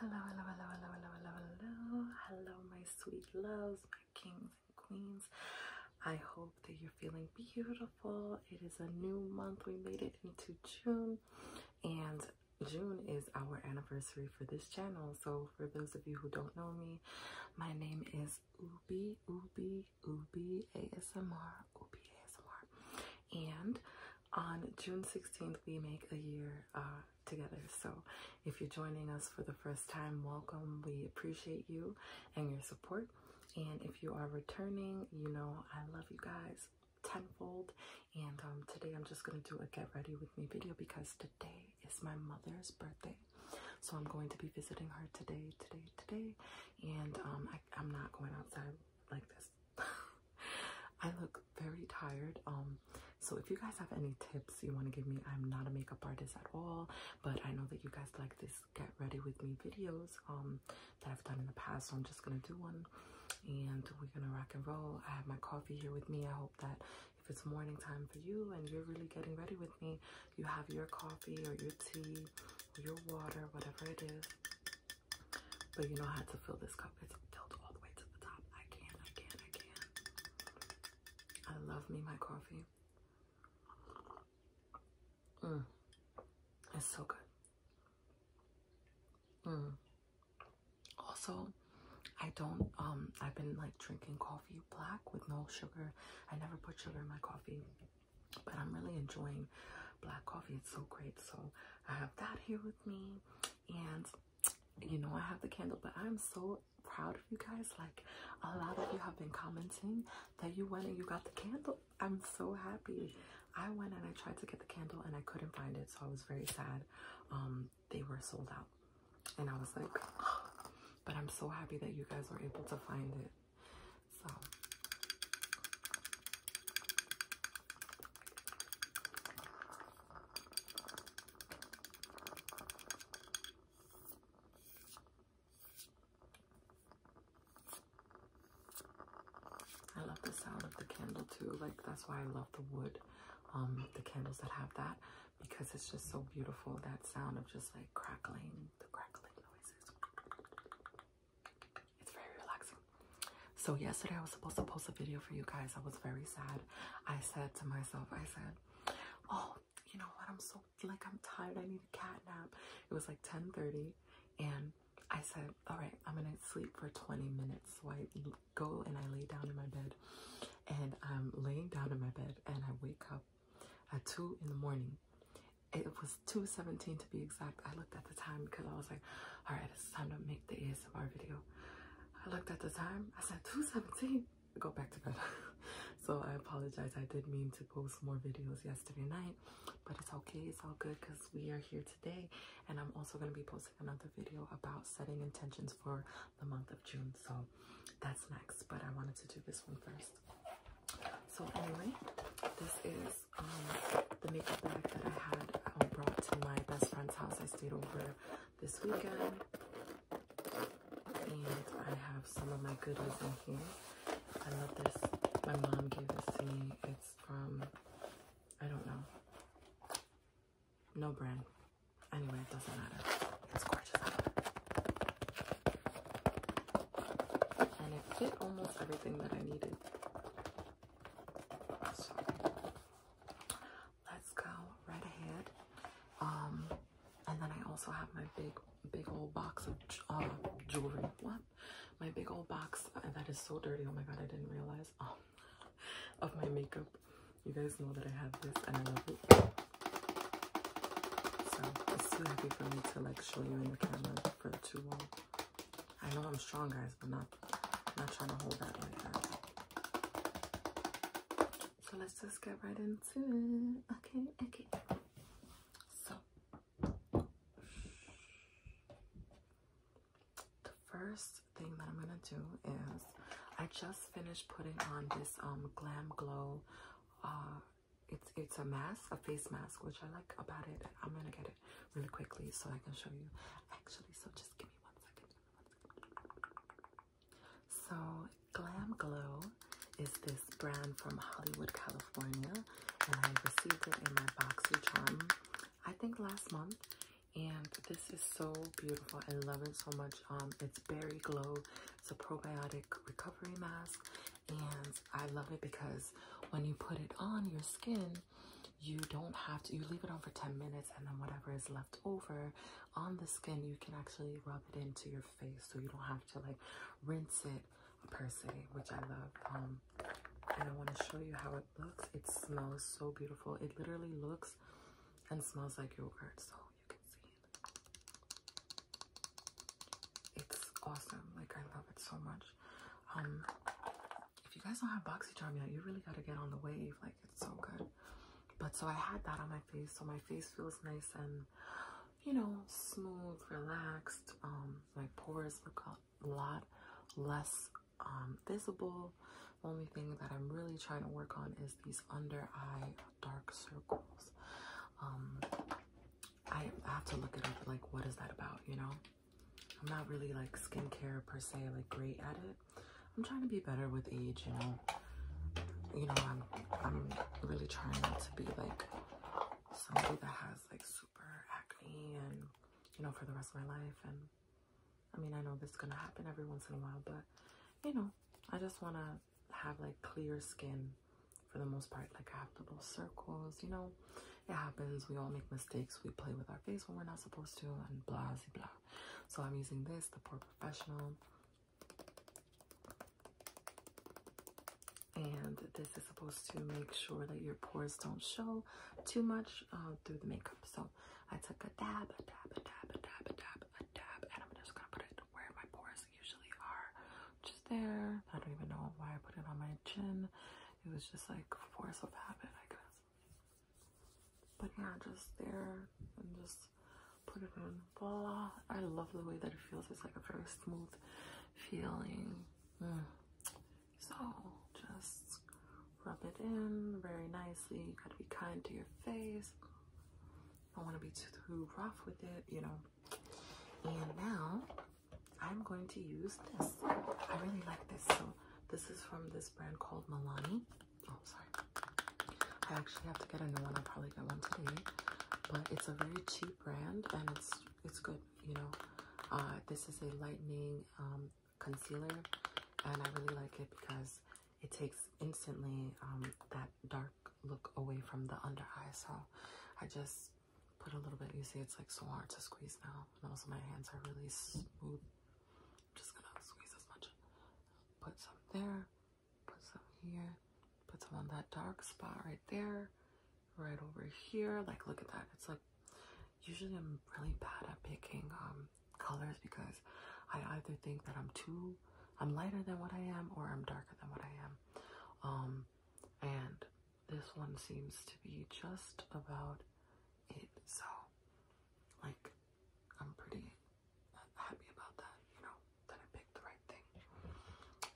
Hello, hello, hello, hello, hello, hello, hello. Hello, my sweet loves, my kings and queens. I hope that you're feeling beautiful. It is a new month. We made it into June, and June is our anniversary for this channel. So, for those of you who don't know me, my name is Ubi, Ubi, Ubi ASMR. Whoopi And on June 16th, we make a year uh, together. So if you're joining us for the first time, welcome. We appreciate you and your support. And if you are returning, you know I love you guys tenfold. And um, today I'm just going to do a get ready with me video because today is my mother's birthday. So I'm going to be visiting her today, today, today. And um, I'm not going outside like this. I look very tired. Um, so if you guys have any tips you want to give me, I'm not a makeup artist at all, but I know that you guys like this get ready with me videos um that I've done in the past, so I'm just gonna do one and we're gonna rock and roll. I have my coffee here with me. I hope that if it's morning time for you and you're really getting ready with me, you have your coffee or your tea or your water, whatever it is. But you know how to fill this cup. It's filled all the way to the top. I can, I can, I can. I love me my coffee. Mm. It's so good. Mm. Also, I don't, um, I've been like drinking coffee black with no sugar. I never put sugar in my coffee. But I'm really enjoying black coffee. It's so great. So I have that here with me. And you know, I have the candle, but I'm so proud of you guys. Like a lot of you have been commenting that you went and you got the candle. I'm so happy. I went and I tried to get the candle and I couldn't find it, so I was very sad. Um, they were sold out. And I was like, but I'm so happy that you guys were able to find it. So I love the sound of the candle too. Like that's why I love the wood, um, the candles that have that because it's just so beautiful. That sound of just like crackling, the crackling noises. It's very relaxing. So yesterday I was supposed to post a video for you guys. I was very sad. I said to myself, I said, oh, you know what? I'm so like I'm tired. I need a cat nap. It was like 10:30, and I said, all right, I'm gonna sleep for 20 minutes. So I go and I lay down in my bed, and I'm laying down in my bed, and I wake up at two in the morning, it was 2.17 to be exact. I looked at the time because I was like, all right, it's time to make the ASMR video. I looked at the time. I said, 2.17. Go back to bed. so I apologize. I did mean to post more videos yesterday night, but it's okay. It's all good because we are here today. And I'm also going to be posting another video about setting intentions for the month of June. So that's next. But I wanted to do this one first. So anyway, this is um, the makeup bag that I had um, brought to my best friend's house. I stayed over this weekend, and I have some of my goodies in here. I love this. My mom gave this to me. It's from I don't know, no brand. Anyway, it doesn't matter. It's gorgeous and it fit almost everything that I needed. So let's go right ahead. Um, and then I also have my big, big old box of uh, jewelry. My big old box uh, that is so dirty. Oh my god, I didn't realize. Um, of my makeup. You guys know that I have this and I love it. So it's too heavy for me to like show you in the camera for too long. I know I'm strong, guys, but not not trying to hold that like that. So let's just get right into it. Okay, okay. So the first thing that I'm gonna do is I just finished putting on this um Glam Glow uh, it's it's a mask, a face mask, which I like about it. I'm gonna get it really quickly so I can show you. Actually, so just give me one second. So Glam Glow is this brand from Hollywood, California, and I received it in my boxy charm. I think last month, and this is so beautiful. I love it so much. Um, it's Berry Glow. It's a probiotic recovery mask, and I love it because when you put it on your skin, you don't have to, you leave it on for 10 minutes, and then whatever is left over on the skin, you can actually rub it into your face so you don't have to like rinse it per se, which I love. Um, and I want to show you how it looks. It smells so beautiful, it literally looks and smells like yogurt, so you can see it's awesome. Like I love it so much. Um, if you guys don't have BoxyCharm yet, you really gotta get on the wave. Like it's so good. But so I had that on my face, so my face feels nice and you know smooth, relaxed. Um, my pores look a lot less um visible. Only thing that I'm really trying to work on is these under eye dark circles. Um, I have to look it up like what is that about, you know? I'm not really like skincare per se like great at it. I'm trying to be better with age, you know. You know, I'm I'm really trying not to be like somebody that has like super acne and you know for the rest of my life and I mean I know this is gonna happen every once in a while, but you know, I just wanna have like clear skin for the most part. Like I have little circles, you know, it happens. We all make mistakes. We play with our face when we're not supposed to and blah, blah, blah. So I'm using this, the Pore Professional. And this is supposed to make sure that your pores don't show too much uh, through the makeup. So I took a dab, a dab, a dab, a dab, a dab, a dab, and I'm just gonna put it where my pores usually are just there. I don't even know why I put it on my chin. It was just like force of habit, I guess. But yeah, just there and just put it in. Voila. I love the way that it feels. It's like a very smooth feeling. Mm. So just rub it in very nicely. You gotta be kind to your face. don't want to be too rough with it, you know. And now I'm going to use this. I really like this. So this is from this brand called Milani. Oh, sorry. I actually have to get a new one. i probably get one today. But it's a very cheap brand and it's it's good, you know. Uh, this is a lightning um, concealer and I really like it because it takes instantly um, that dark look away from the under eye. So I just put a little bit. You see, it's like so hard to squeeze now. And also my hands are really smooth. I'm just gonna squeeze as much. Put some there, put some here, put some on that dark spot right there, right over here. Like look at that. It's like usually I'm really bad at picking um colors because I either think that I'm too I'm lighter than what I am or I'm darker than what I am. Um and this one seems to be just about it. So, like, I'm pretty happy about that, you know, that I picked the right thing.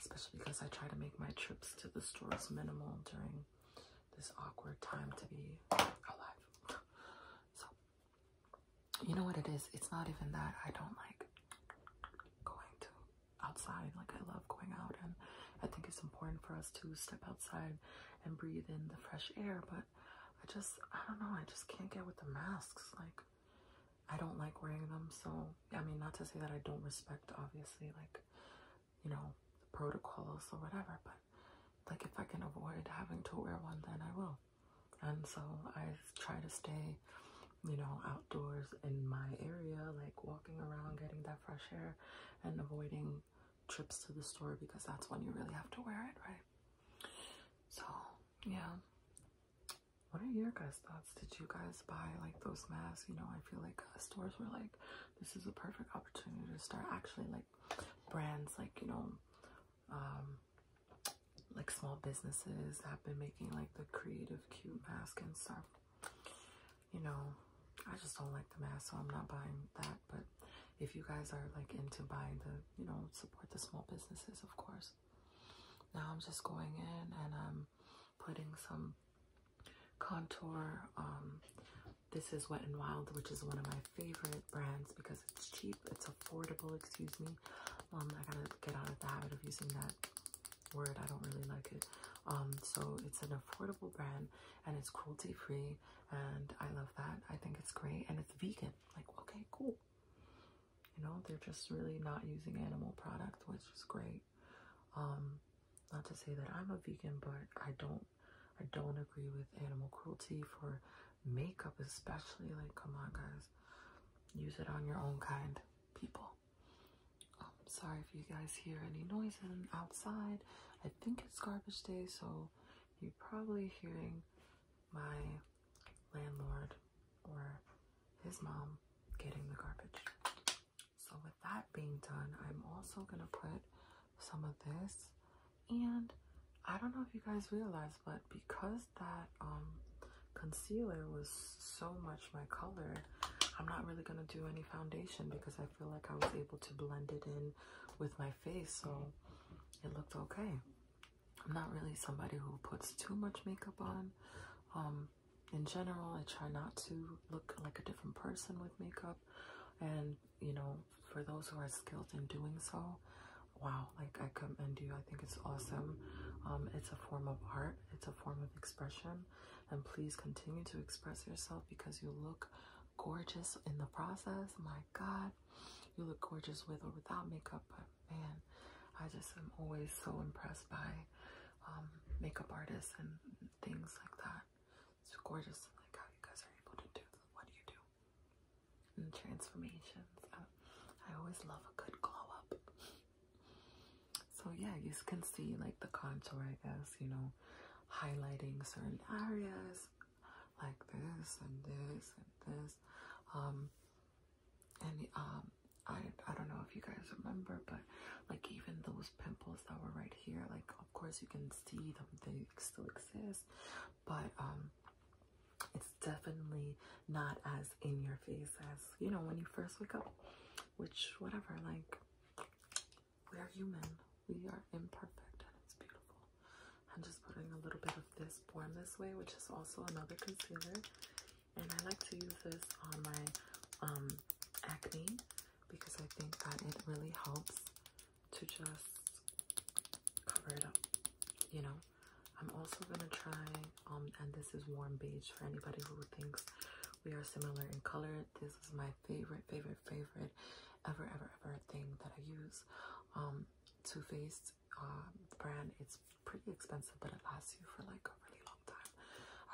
Especially because I try to make my trips to the stores minimal during this awkward time to be alive. So, you know what it is? It's not even that I don't like going to outside. Like, I love going out, and I think it's important for us to step outside and breathe in the fresh air. But I just, I don't know, I just can't get with the masks. Like, I don't like wearing them. So, I mean, not to say that I don't respect, obviously, like, you know, the protocols or whatever, but like, if I can avoid having to wear one, then I will. And so I try to stay you know, outdoors in my area, like walking around, getting that fresh air, and avoiding trips to the store because that's when you really have to wear it, right? So, yeah. What are your guys' thoughts? Did you guys buy like those masks? You know, I feel like uh, stores were like, this is a perfect opportunity to start actually like brands like, you know, um, like small businesses have been making like the creative cute mask and stuff. You know, I just don't like the mask, so I'm not buying that. But if you guys are like into buying the, you know, support the small businesses, of course. Now I'm just going in and I'm putting some contour. Um, this is Wet and Wild, which is one of my favorite brands because it's cheap, it's affordable, excuse me. Um, I gotta get out of the habit of using that word i don't really like it um so it's an affordable brand and it's cruelty free and i love that i think it's great and it's vegan like okay cool you know they're just really not using animal product which is great um not to say that i'm a vegan but i don't i don't agree with animal cruelty for makeup especially like come on guys use it on your own kind people. I'm um, sorry if you guys hear any noise outside. I think it's garbage day, so you're probably hearing my landlord or his mom getting the garbage. So with that being done, I'm also gonna put some of this and I don't know if you guys realize, but because that um, concealer was so much my color i'm not really gonna do any foundation because i feel like i was able to blend it in with my face so it looked okay i'm not really somebody who puts too much makeup on um, in general i try not to look like a different person with makeup and you know for those who are skilled in doing so wow like I commend you. I think it's awesome. Um, it's a form of art, it's a form of expression. And please continue to express yourself because you look gorgeous in the process. My God, you look gorgeous with or without makeup. But man, I just am always so impressed by um, makeup artists and things like that. It's gorgeous, like how you guys are able to do what you do. And transformations. I always love a good glow up. So yeah, you can see like the contour, I guess, you know, highlighting certain areas like this and this and this. Um and um I I don't know if you guys remember, but like even those pimples that were right here, like of course you can see them, they still exist. But um it's definitely not as in your face as you know when you first wake up, which, whatever, like we are human, we are imperfect, and it's beautiful. I'm just putting a little bit of this Born This Way, which is also another concealer, and I like to use this on my um acne because I think that it really helps to just cover it up, you know. I'm also gonna try um, and this is warm beige for anybody who thinks we are similar in color. This is my favorite, favorite, favorite ever ever ever thing that I use. Um Too Faced uh, brand. It's pretty expensive but it lasts you for like a really long time.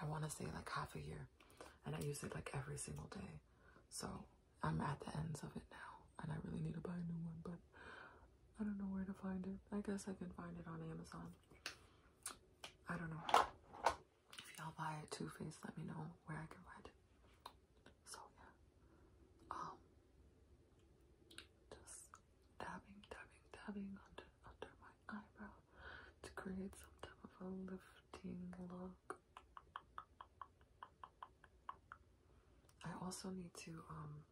I wanna say like half a year and I use it like every single day. So I'm at the ends of it now and I really need to buy a new one but I don't know where to find it. I guess I can find it on Amazon. I don't know. If y'all buy it, Too Faced, let me know where I can find it. So yeah, um, just dabbing, dabbing, dabbing under under my eyebrow to create some type of a lifting look. I also need to um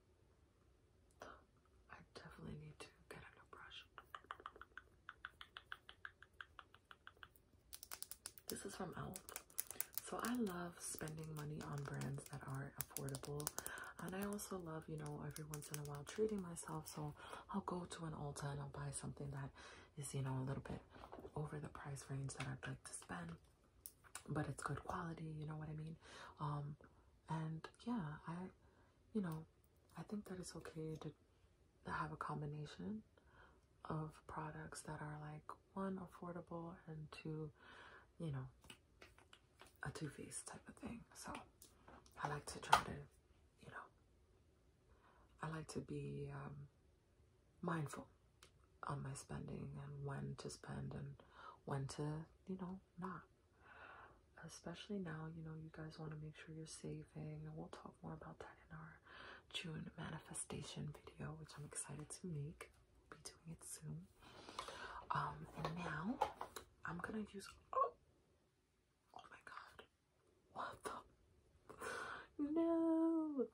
I definitely need to get a new brush. This is from e.l.f. So I love spending money on brands that are affordable. And I also love, you know, every once in a while treating myself. So I'll go to an Ulta and I'll buy something that is, you know, a little bit over the price range that I'd like to spend. But it's good quality, you know what I mean? Um, and yeah, I, you know, I think that it's okay to have a combination of products that are like one affordable and two, you know, a two face type of thing. So I like to try to, you know, I like to be um, mindful on my spending and when to spend and when to, you know, not. Especially now, you know, you guys want to make sure you're saving, we'll talk more about that in our June manifestation video, which I'm excited to make. We'll be doing it soon. Um, and now I'm gonna use oh, oh my god, what the no,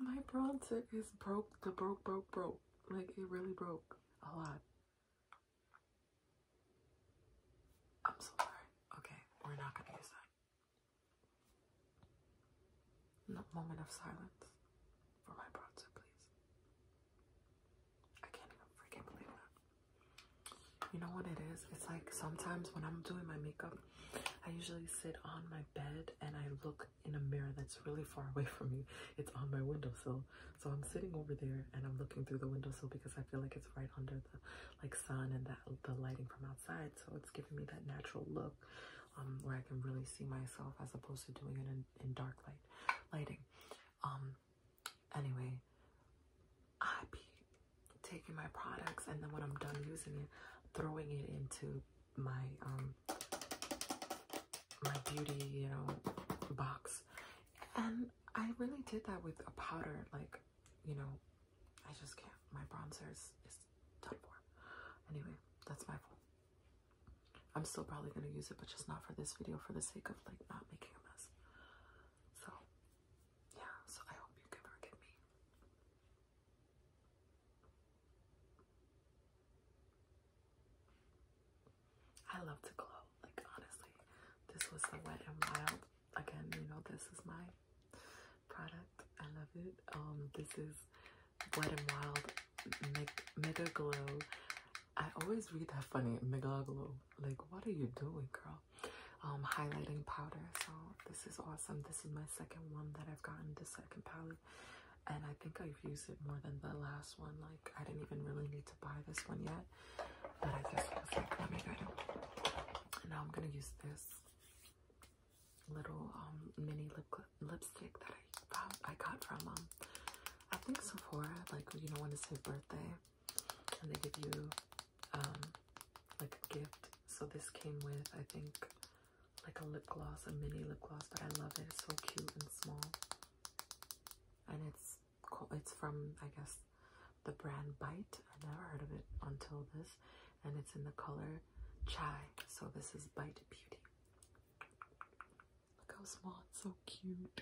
my bronzer is broke, the broke, broke, broke, like it really broke a lot. I'm so sorry. Okay, we're not going to use that. No moment of silence for my brother, please. I can't even freaking believe that. You know what it is? It's like sometimes when I'm doing my makeup, I usually sit on my bed and I look in a mirror that's really far away from me. It's on my windowsill. So I'm sitting over there and I'm looking through the windowsill because I feel like it's right under the like sun and that the lighting from outside. So it's giving me that natural look um, where I can really see myself as opposed to doing it in, in dark light lighting. Um, anyway, I be taking my products and then when I'm done using it, throwing it into my um my beauty, you know, box. And I really did that with a powder, like, you know, I just can't. My bronzer is, is done for. Anyway, that's my fault. I'm still probably gonna use it, but just not for this video for the sake of like not making a mess. So yeah, so I hope you can forgive me. I love to glow. Like honestly, this was the Wet and Wild. Again, you know this is my product. I love it. Um, this is Wet and Wild Mega Glow. I always read that funny Mega Glow. Like, what are you doing, girl? Um, highlighting powder. So this is awesome. This is my second one that I've gotten. The second palette and I think I've used it more than the last one. Like, I didn't even really need to buy this one yet, but I just was like, let me go. it. Now I'm gonna use this little um, mini lip lipstick that I I got from um I think Sephora. Like, you know, when it's your birthday, and they give you um like a gift. So this came with I think like a lip gloss, a mini lip gloss, but I love it. It's so cute and small. And it's It's from, I guess, the brand Bite. I never heard of it until this. And it's in the color Chai. So this is Bite Beauty. Look how small. It's so cute.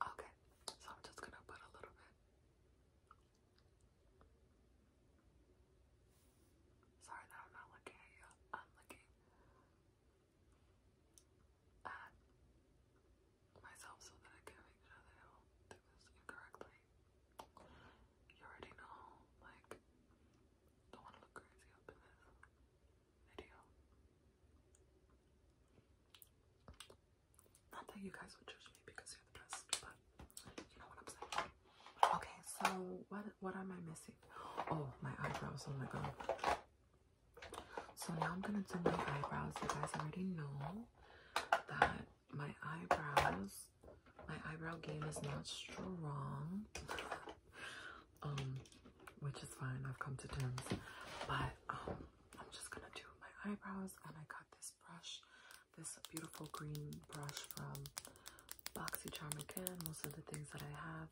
Okay. So I'm just going to put a little bit. Sorry that I'm not looking at you. I'm looking at myself so that I can make sure that I do this incorrectly. You already know, like, don't want to look crazy up in this video. Not that you guys would judge me because you're the best, but you know what I'm saying. Okay, so what what am I missing? Oh, my eyebrows. Oh my god. So now I'm gonna do my eyebrows. You guys already know that my eyebrows, my eyebrow game is not strong. um, which is fine, I've come to terms. But um, I'm just gonna do my eyebrows and I got this brush, this beautiful green brush from Boxy BoxyCharm again. Most of the things that I have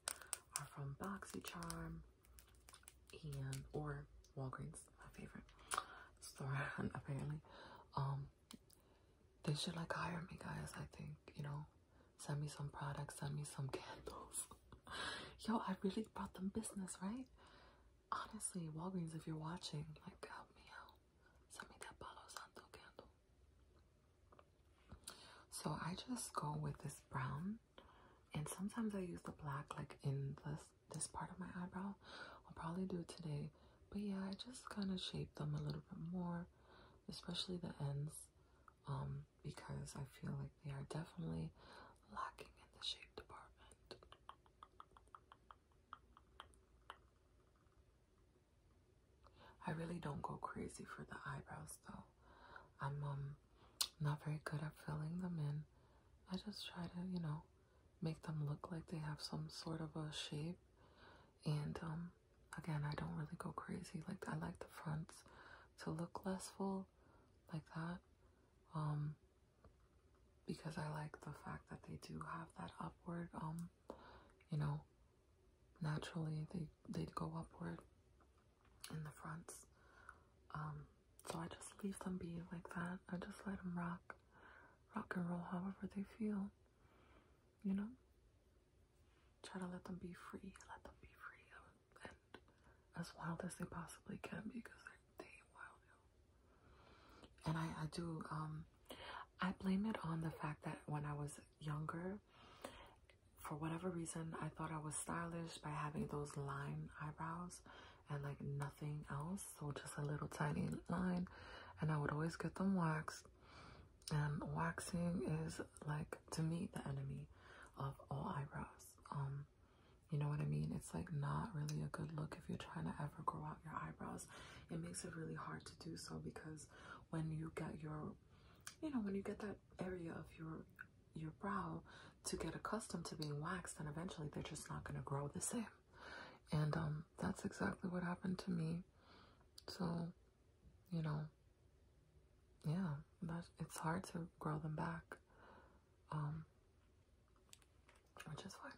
are from BoxyCharm and or Walgreens, my favorite store apparently. Um they should like hire me guys, I think, you know. Send me some products, send me some candles. Yo, I really brought them business, right? Honestly, Walgreens, if you're watching, like help me out. Send me that Palo Santo candle. So I just go with this brown, and sometimes I use the black like in this this part of my eyebrow. I'll probably do it today, but yeah, I just kind of shape them a little bit more, especially the ends, um, because I feel like they are definitely lacking in the shape department. I really don't go crazy for the eyebrows though. I'm um not very good at filling them in. I just try to, you know, make them look like they have some sort of a shape. And um again, I don't really go crazy. Like I like the fronts to look less full like that. Um because I like the fact that they do have that upward um you know naturally they they'd go upward in the fronts. Um, so I just leave them be like that. I just let them rock, rock and roll however they feel. You know? Try to let them be free, let them be free and as wild as they possibly can because they're they wild. And I, I do, um, I blame it on the fact that when I was younger, for whatever reason, I thought I was stylish by having those line eyebrows and like nothing else. So just a little tiny line. And I would always get them waxed. And waxing is like, to me, the enemy of all eyebrows. Um, you know what I mean? It's like not really a good look if you're trying to ever grow out your eyebrows. It makes it really hard to do so because when you get your you know when you get that area of your your brow to get accustomed to being waxed then eventually they're just not going to grow the same and um that's exactly what happened to me so you know yeah that it's hard to grow them back um which is fine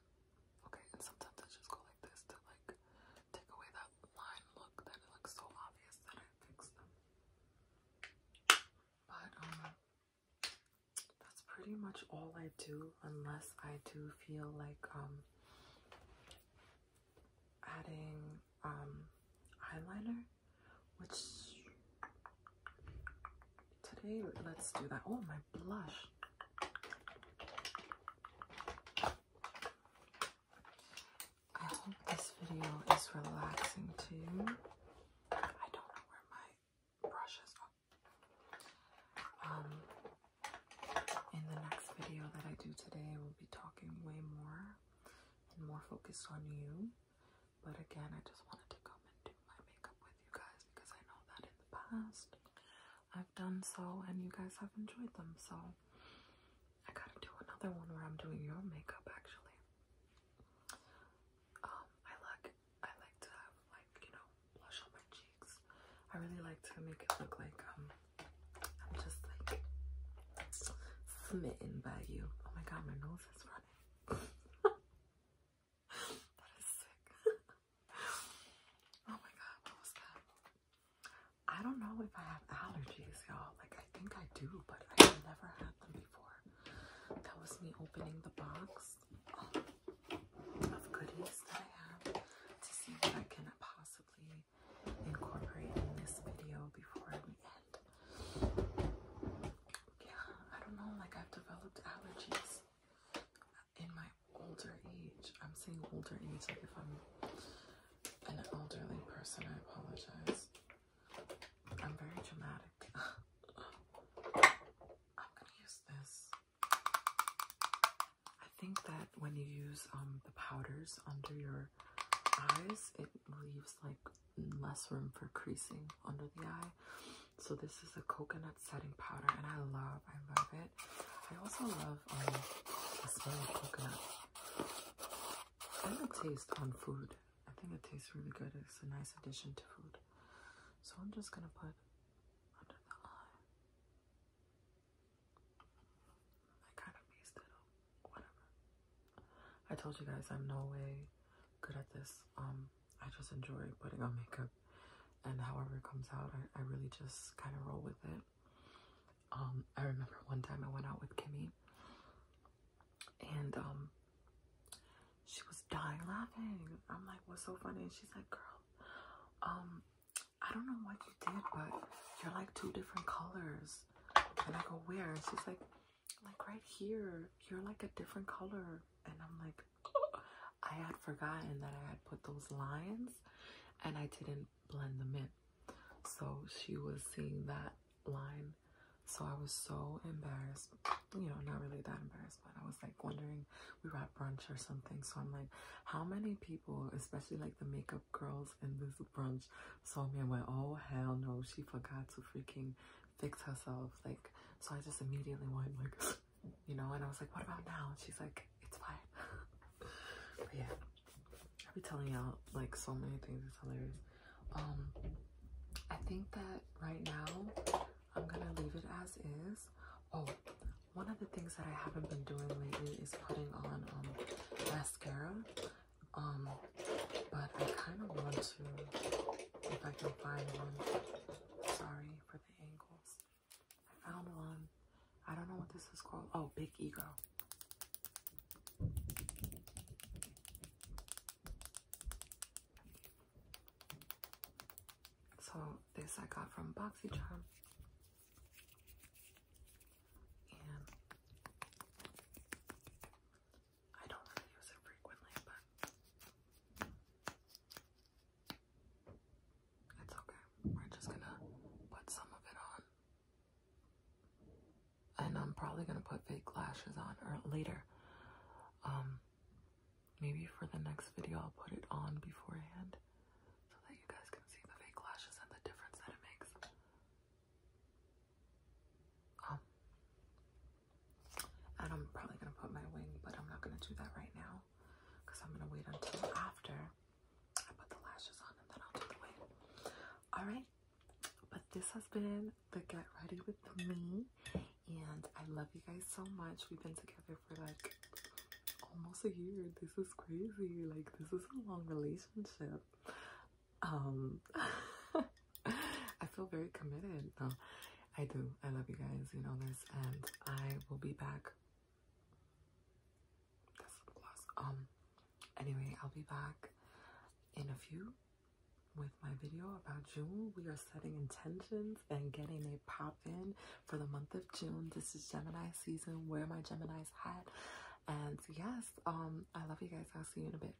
okay and sometimes i just go like this to like take away that line look that it looks so obvious that I fixed them. But um that's pretty much all I do unless I do feel like um adding um eyeliner which today let's do that. Oh my blush. I hope this video is relaxing too. I don't know where my brush is. Um, in the next video that I do today, we'll be talking way more and more focused on you. But again, I just wanted to come and do my makeup with you guys because I know that in the past I done so and you guys have enjoyed them. So I gotta do another one where I'm doing your makeup actually. Um, I like I like to have like, you know, blush on my cheeks. I really like to make it look like um I'm just like smitten by you. Oh my god, my nose is running. that is sick. oh my god, what was that? I don't know if I have allergies, y'all. Like, I think I do, but I've never had them before. That was me opening the box of goodies that I have to see what I can possibly incorporate in this video before we end. Yeah, I don't know. Like, I've developed allergies in my older age. I'm saying older age, like if I'm an elderly person, I apologize. I'm very dramatic. I'm gonna use this. I think that when you use um the powders under your eyes, it leaves like less room for creasing under the eye. So this is a coconut setting powder, and I love, I love it. I also love um, the smell of coconut and the taste on food. I think it tastes really good. It's a nice addition to food. So I'm just gonna put under the eye. I kind of messed it up. Whatever. I told you guys I'm no way good at this. Um, I just enjoy putting on makeup and however it comes out, I really just kind of roll with it. Um, I remember one time I went out with Kimmy and um she was dying laughing. I'm like, what's so funny? And she's like, girl, um, I don't know what you did, but you're like two different colors. And I go, where? And she's like, like right here, you're like a different color. And I'm like, I had forgotten that I had put those lines and I didn't blend them in. So she was seeing that line. So I was so embarrassed, you know, not really that embarrassed, but I was like wondering, we were at brunch or something. So I'm like, how many people, especially like the makeup girls in this brunch, saw me and went, oh, hell no, she forgot to freaking fix herself. Like, so I just immediately went like, you know, and I was like, what about now? And she's like, it's fine. but yeah, I'll be telling y'all like so many things. It's hilarious. Um, I think that right now I'm gonna leave it as is. Oh, one of the things that I haven't been doing lately is putting on um mascara. Um, but I kind of want to if I can find one. Sorry for the angles. I Found one. Um, I don't know what this is called. Oh, Big Ego. So this I got from BoxyCharm. And I don't really use it frequently, but it's okay. We're just gonna put some of it on. And I'm probably gonna put fake lashes on or er, later. Um maybe for the next video I'll put it on beforehand so that you guys can see the fake lashes and the difference that it makes. Um and I'm probably gonna put my wing, but I'm not gonna do that right now because I'm gonna wait until after I put the lashes on and then I'll do the Alright, but this has been the Get Ready With Me. And I love you guys so much. We've been together for like almost a year. This is crazy. Like, this is a long relationship. Um, I feel very committed. No, I do. I love you guys. You know this. And I will be back um, anyway, I'll be back in a few with my video about June. We are setting intentions and getting a pop in for the month of June. This is Gemini season. Wear my Gemini's hat. And yes, um, I love you guys. I'll see you in a bit.